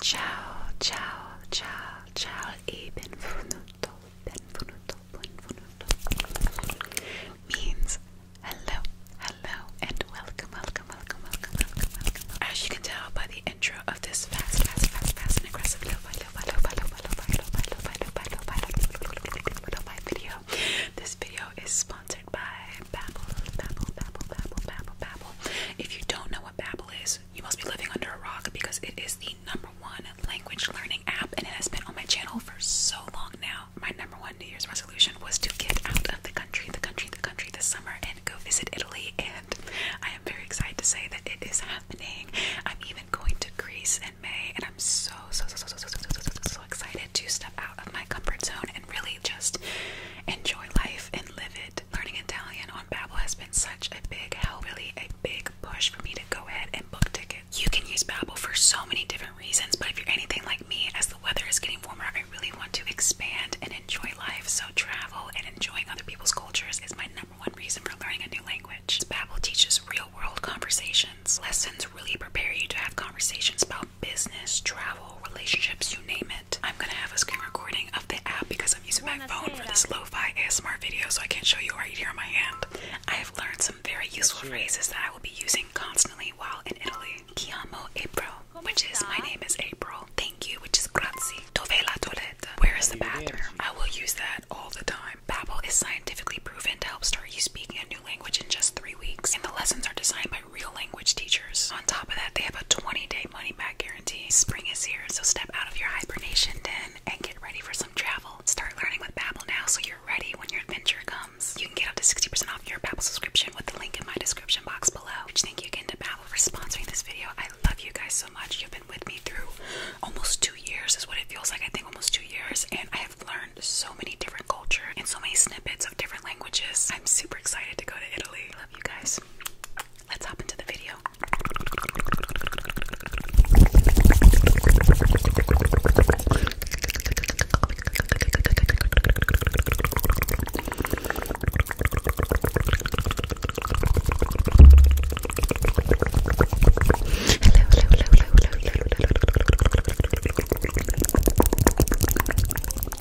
Ciao, ciao, ciao, ciao e benvenuto, benvenuto, benvenuto means hello, hello, and welcome, welcome, welcome, welcome, welcome, welcome. As you can tell by the intro of this fast, fast, fast, fast and aggressive video, this video is sponsored by Babble, Babble, Babble, Babble, Babble, Babble. Babbel. If you don't know what Babbel is, you must be living under a rock because it is the number one language learning app and it has been on my channel for so long now. My number one New Year's resolution was to get out of the country, the country, the country this summer and go visit Italy and I am very excited to say that it is happening. I'm even going to Greece in May and I'm so so so so so so so so, so, so excited to step out of my comfort zone and really just enjoy life and live it learning Italian on Babbel has been such a big help, really a big push for me to go ahead and book tickets. You can use Babbel for so many different reasons, but if you're anything like me, as the weather is getting warmer, I really want to expand and enjoy life. So travel and enjoying other people's cultures is my number one reason for learning a new language. Babbel teaches real-world conversations. Lessons really prepare you to have conversations about business, travel, relationships, you name it. I'm gonna have a screen recording of the app because I'm using my phone for this lo-fi ASMR video, so I can't show you right here on my hand. I have learned some very useful phrases that I will be using constantly while in Italy. Chiamo April, which is my name is April. Thank you, which is grazie. Dove la toilette? Where is the bathroom? I will use that all the time. Babbel is scientifically proven to help start you speaking a new language in just three weeks, and the lessons are designed by real language teachers. On top of that, they have a 20 day money back guarantee. Spring is here, so step out of your hibernation den and get ready for some travel. Start learning with Babbel now so you're ready when your adventure comes. You can get up to 60% off your Babbel subscription with the link in my description box below. Which thank you again to Babbel for sponsoring this video. I love you guys so much. You've been with me through almost two years is what it feels like. I think almost two years and I have learned so many different cultures and so many snippets of different different languages. I'm super excited to go to Italy. Love you guys. Let's hop into the video.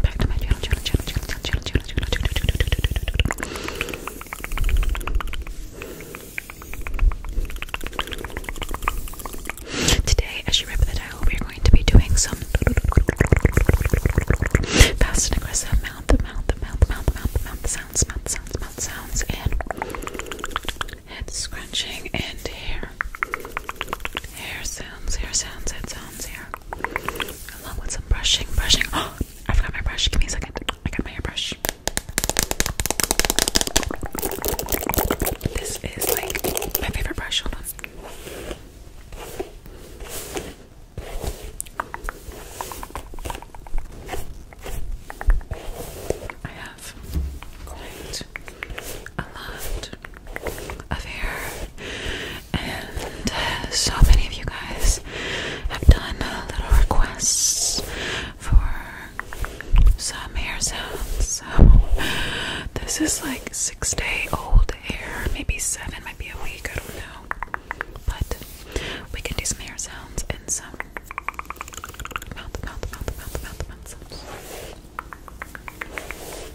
Back to my channel, channel, channel, channel, channel, channel, channel, channel, channel, channel. Today, as you read the title, we are going to be doing some fast and aggressive mouth, mouth, mouth, mouth, mouth, mouth sounds, mouth sounds, mouth sounds, and head scrunching and hair. Hair sounds, hair sounds, head sounds, hair along with some brushing, brushing. Oh, I forgot my brush. Give me a second. I got my hairbrush. This is like my favorite brush. Hold on. I have quite a lot of hair and so many of you guys have done little requests for some air sounds. So this is like six day old air, maybe seven, might be a week, I don't know. But we can do some air sounds and some mouth, mouth, mouth, mouth, mouth, mouth sounds.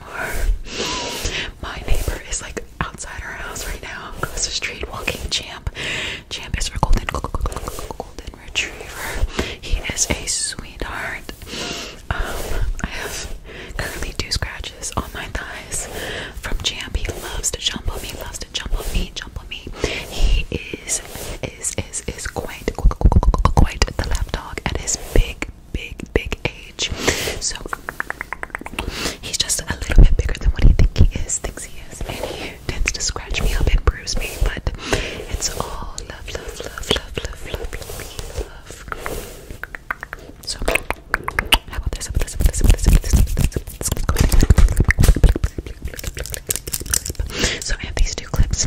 ASMR. My neighbor is like outside our house right now, across the street, walking Champ. Champ is our golden, golden retriever. He is a sweetheart. Um, I have currently two scratches on my thighs from Champ. He loves to jump on me, loves to jump on me, jump on me. He is is is is quite quite the lap dog at his big big, big age. So he's just a little bit bigger than what he think he is, thinks he is, and tends to scratch me up and bruise me. But it's all love, love, love, love, love, love, love, So how about this? so I have these two clips.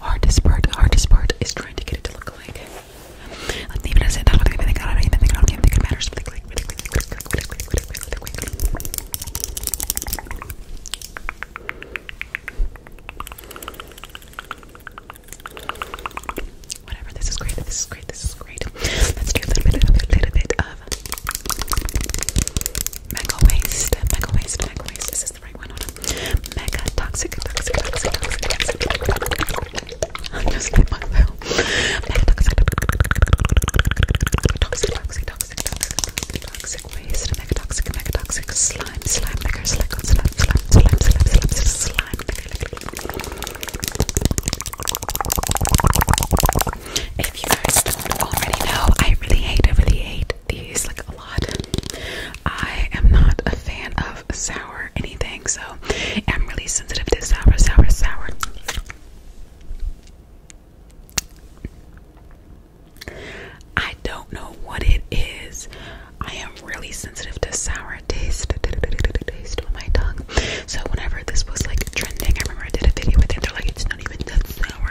hardest part, hardest part is trying to get it to look like. Like even as it, I do even think I don't even think I don't even think it matters. Whatever. This is great. This is great. This is great. Let's do a little bit, a little, little bit of mega waste, mega waste, mega waste. This is the right one on Mega toxic, toxic, toxic, toxic, toxic. I'm just like myself. Mega toxic, toxic, toxic, toxic, toxic, toxic waste. Mega toxic, mega toxic slime, slime, mega slime, slime, slime, slime, slime, slime, slime, slime. If you guys don't already know, I really hate, I really hate these like a lot. I am not a fan of sour anything, so I'm really sensitive to sour, sour, sour. I don't know what it is. I am really sensitive to sour taste, taste on my tongue. So whenever this was like trending, I remember I did a video with it. They're like, it's not even that sour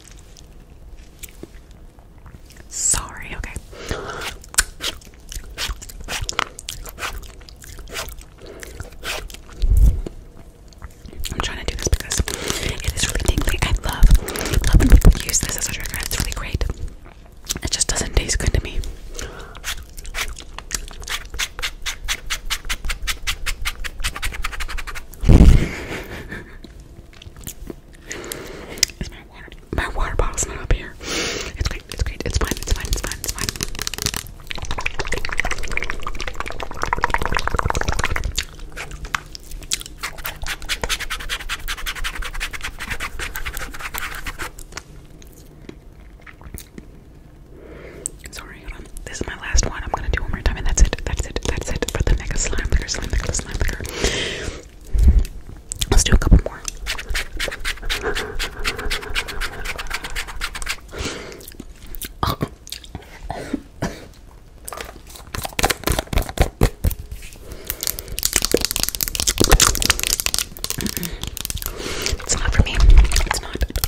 Sorry, okay. I'm trying to do this because it is really tingly. I love, love when people use this as a trigger. It's really great. It just doesn't taste good to me. Is my water my water bottle's not up here? It's great, it's great, it's fine, it's fine, it's fine, it's fine. Sorry, This is my last one. I'm gonna do one more time, and that's it. That's it. That's it for the mega slime liquor, slime liquor, slime Let's do a couple more. It's not for me. It's not.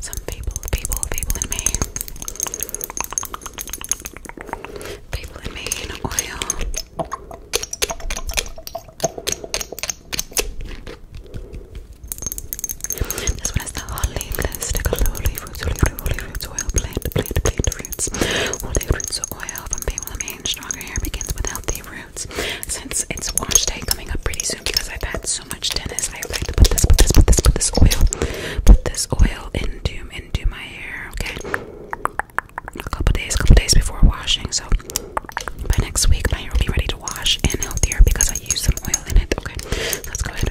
some people, people, people in me. People in me in oil. This one is the holy plastic of the holy fruits, holy fruit, holy fruits, oil, plant, plant, plant roots. Holy roots of oil from people in me. Stronger hair begins with healthy roots. Since it's wash day coming up pretty soon because I've had so much tennis. I like to put this, put this, put this, put this oil, put this oil into into my hair. Okay, a couple days, couple days before washing. So by next week, my hair will be ready to wash and healthier because I use some oil in it. Okay, let's go ahead.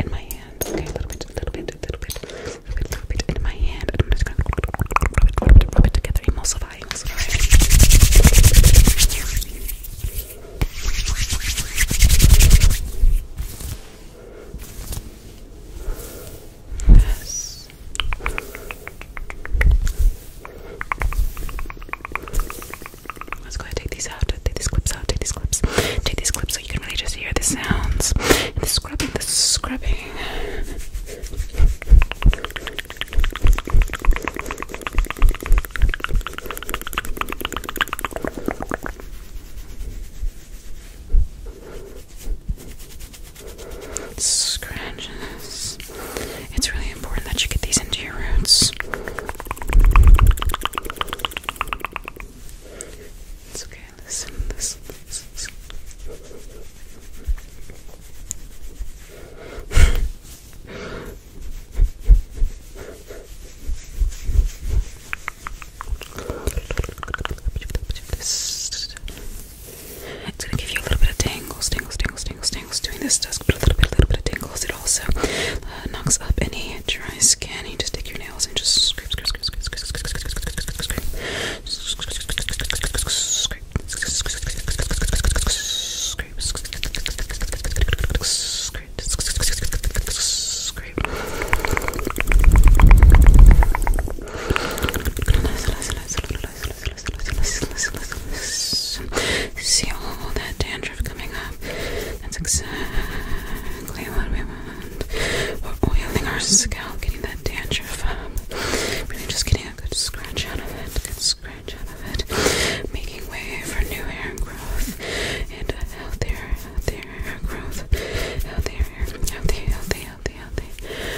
in my hand. Okay, a little bit, a little bit, a little bit, a little bit, a little bit in my hand. And I'm rub it together, emulsify, emulsify. Yes. Let's go ahead and take these out. Take these clips out. Take these clips. Take these clips so you can really just hear the sounds. the scrubbing. The scrubbing. Scratches. It's really important that you get these into your roots. It's okay, listen, listen, listen, listen. It's gonna give you a little bit of tingles, tingles, tingles, tingles, tingles. Doing this does a little bit, a little bit of tingles also knocks up any dry skin. You just take your nails and just scrape, scrape, scrape, scrape, scrape, scrape, scrape, scrape, scrape, See all that dandruff coming up. That's exactly what we want. We're oiling our scalp, getting that dandruff up. Really just getting a good scratch out of it, good scratch out of it. Making way for new hair growth and healthier, healthier hair growth. Healthier, healthy, healthy, healthy, healthy, healthy, healthy.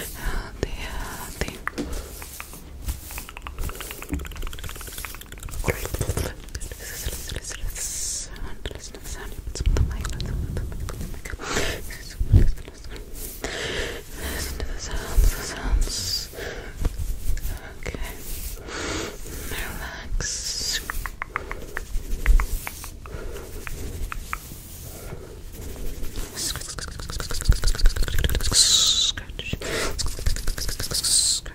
Listen to the sounds, the sounds. Okay. Relax. Scratch. Scratch. Scratch.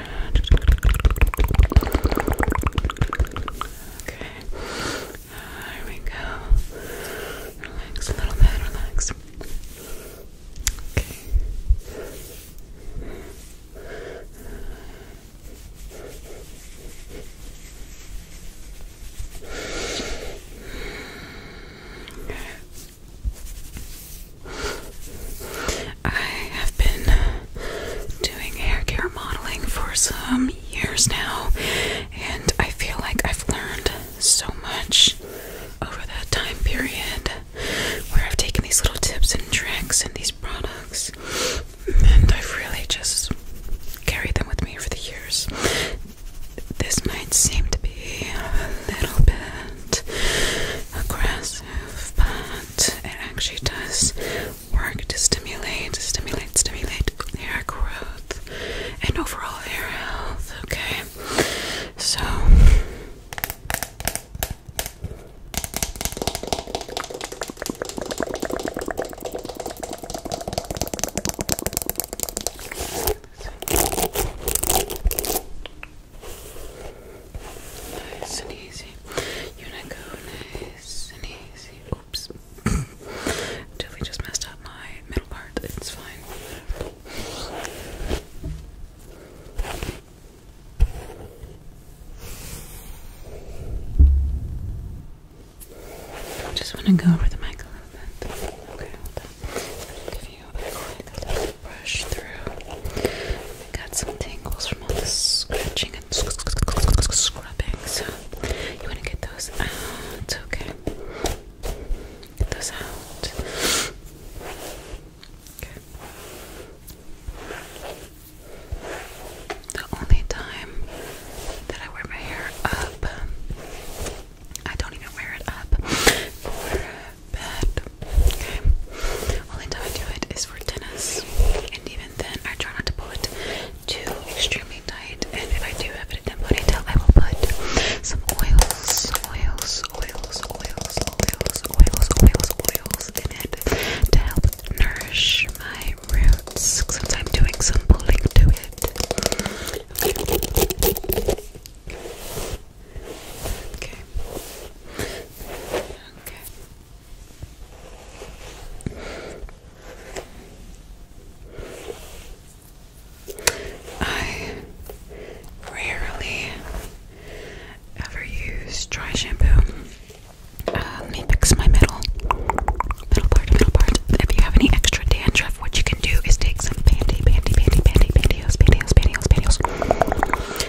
Okay. There we go. Relax a little bit, relax. Okay. Okay. I have been doing hair care modeling for some years now, and I feel like I've learned so much over that time period where I've taken these little tips and tricks and these products, and I've really just carried them with me for the years. This might seem to be a little bit aggressive, but it actually does work to stimulate, stimulate, stimulate hair growth and overall hair health. Okay, so. Nice and easy. You nice and easy. Oops. Totally just messed up my middle part. It's fine. Just want to go over the mic a little bit. Okay, hold on. give you brush through. I got some tangles from all the scratching and scrubbing, so you want to get those out, okay? those out. Okay. The only time that I wear my hair up, I don't even wear it up, uh, bed. Okay. Only time I do it is for tennis, and even then, I try not to pull it too extremely tight. And if I do have it in ponytail, I will put some oils, oils, oils, oils, oils, oils, oils, oils in it to help nourish my roots since I'm doing some pulling to it. Okay. Okay. I rarely ever use dry shampoo. let me fix my middle, middle part, middle part. If you have any extra dandruff, what you can do is take some panty, panty, panty, panty, pantyhose, pantyhose, pantyhose, pantyhose,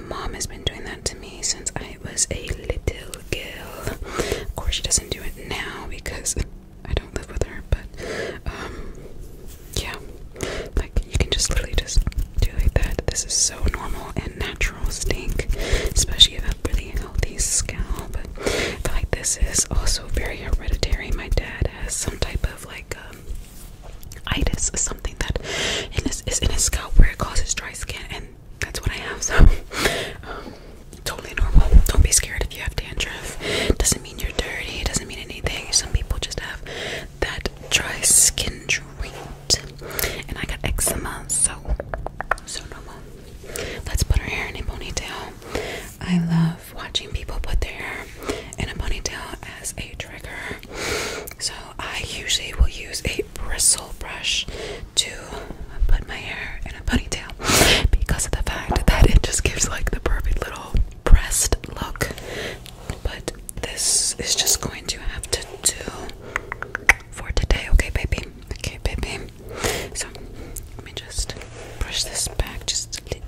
mom has been doing that to me since I was a little girl. Of course, she doesn't do it now because I don't live with her, but um, yeah, like you can just literally just do like that. This is so normal and natural stink, especially if I have really healthy scalp. I feel like this is also very hereditary. My dad has some type of like um, itis is something that is in a scalp where it causes dry skin, and that's what I have. So, um, totally normal. Don't be scared if you have dandruff. Doesn't mean you're dirty. Doesn't mean anything. Some people just have that dry skin trait, and I got eczema, so so normal. Let's put her hair in a ponytail. I love watching people put their hair in a ponytail as a trigger. So I usually will use a bristle brush to put my hair in a ponytail because of the fact that it just gives like the perfect little pressed look. But this is just going to have to do for today, okay, baby? Okay, baby. So let me just brush this back just a little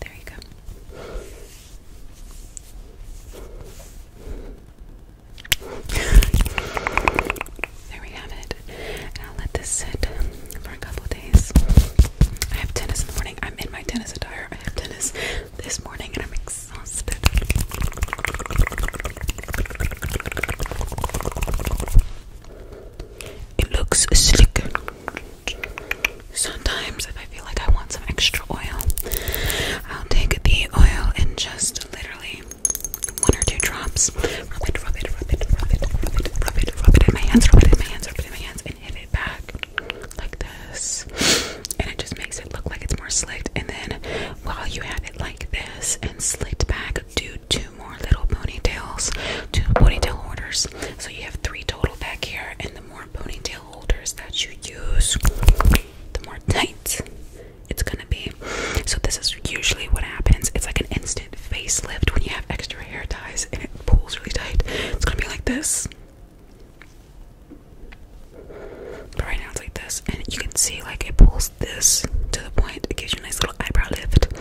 There you go. there we have it. I'll let this sit for a couple days. I have tennis in morning. I'm in my tennis attire. I have tennis this morning and I'm exhausted. It looks slick. Sometimes, if I feel like I want some extra oil, I'll take the oil and just literally one or two drops. Rub it, rub it, rub it, rub it, rub it, rub it, rub it in my hands, rub it in my hands, rub it in my hands, and hit it back like this. And it just makes it look like it's more slicked. And then while you have it like this and slicked back, do two more little ponytails, two ponytail holders. So you have three total back here, and the more ponytail holders that you use, the more tight it's gonna be. So this is usually what happens. It's like an instant facelift when you have extra hair ties and it pulls really tight. It's gonna be like this. But right now it's like this, and you can see like it pulls this to the point. It gives you a nice little eyebrow lift.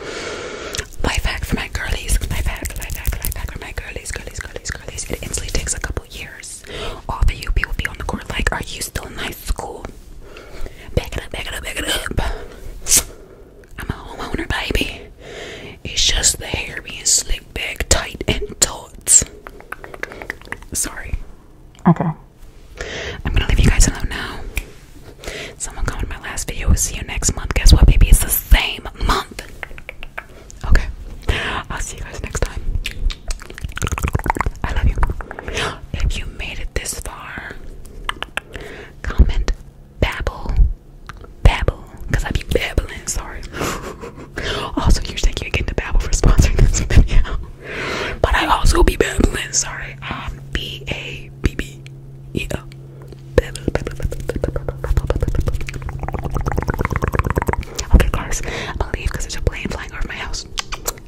Life hack for my girlies. Life hack, life hack, life hack for my girlies, girlies, girlies, girlies. It instantly takes a couple years. All the you people be on the court like, are you still in high school? Back it up, back it up, back it up. I'm a homeowner, baby. It's just the hair being slicked back tight and taut. Sorry. Okay. I'm gonna leave you guys alone now. Someone commented my last video We'll see you next month. Guess what, baby? It's the same month. Okay. I'll see you guys next time. I love you. If you made it this far, comment babble. Babble. I be babbling, sorry. also, you thank you again to Babble for sponsoring this video. But I also be babbling, sorry. Um B A B B E O. Okay, cars. I'm going there's a plane flying over my house.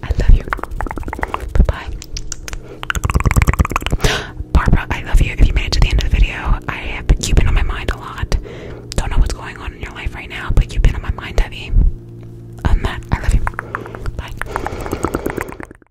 I love you. Bye bye. Barbara, I love you. If you made it to the end of the video, I have you've been on my mind a lot. Don't know what's going on in your life right now, but you've been on my mind heavy. On that, I love you. Bye.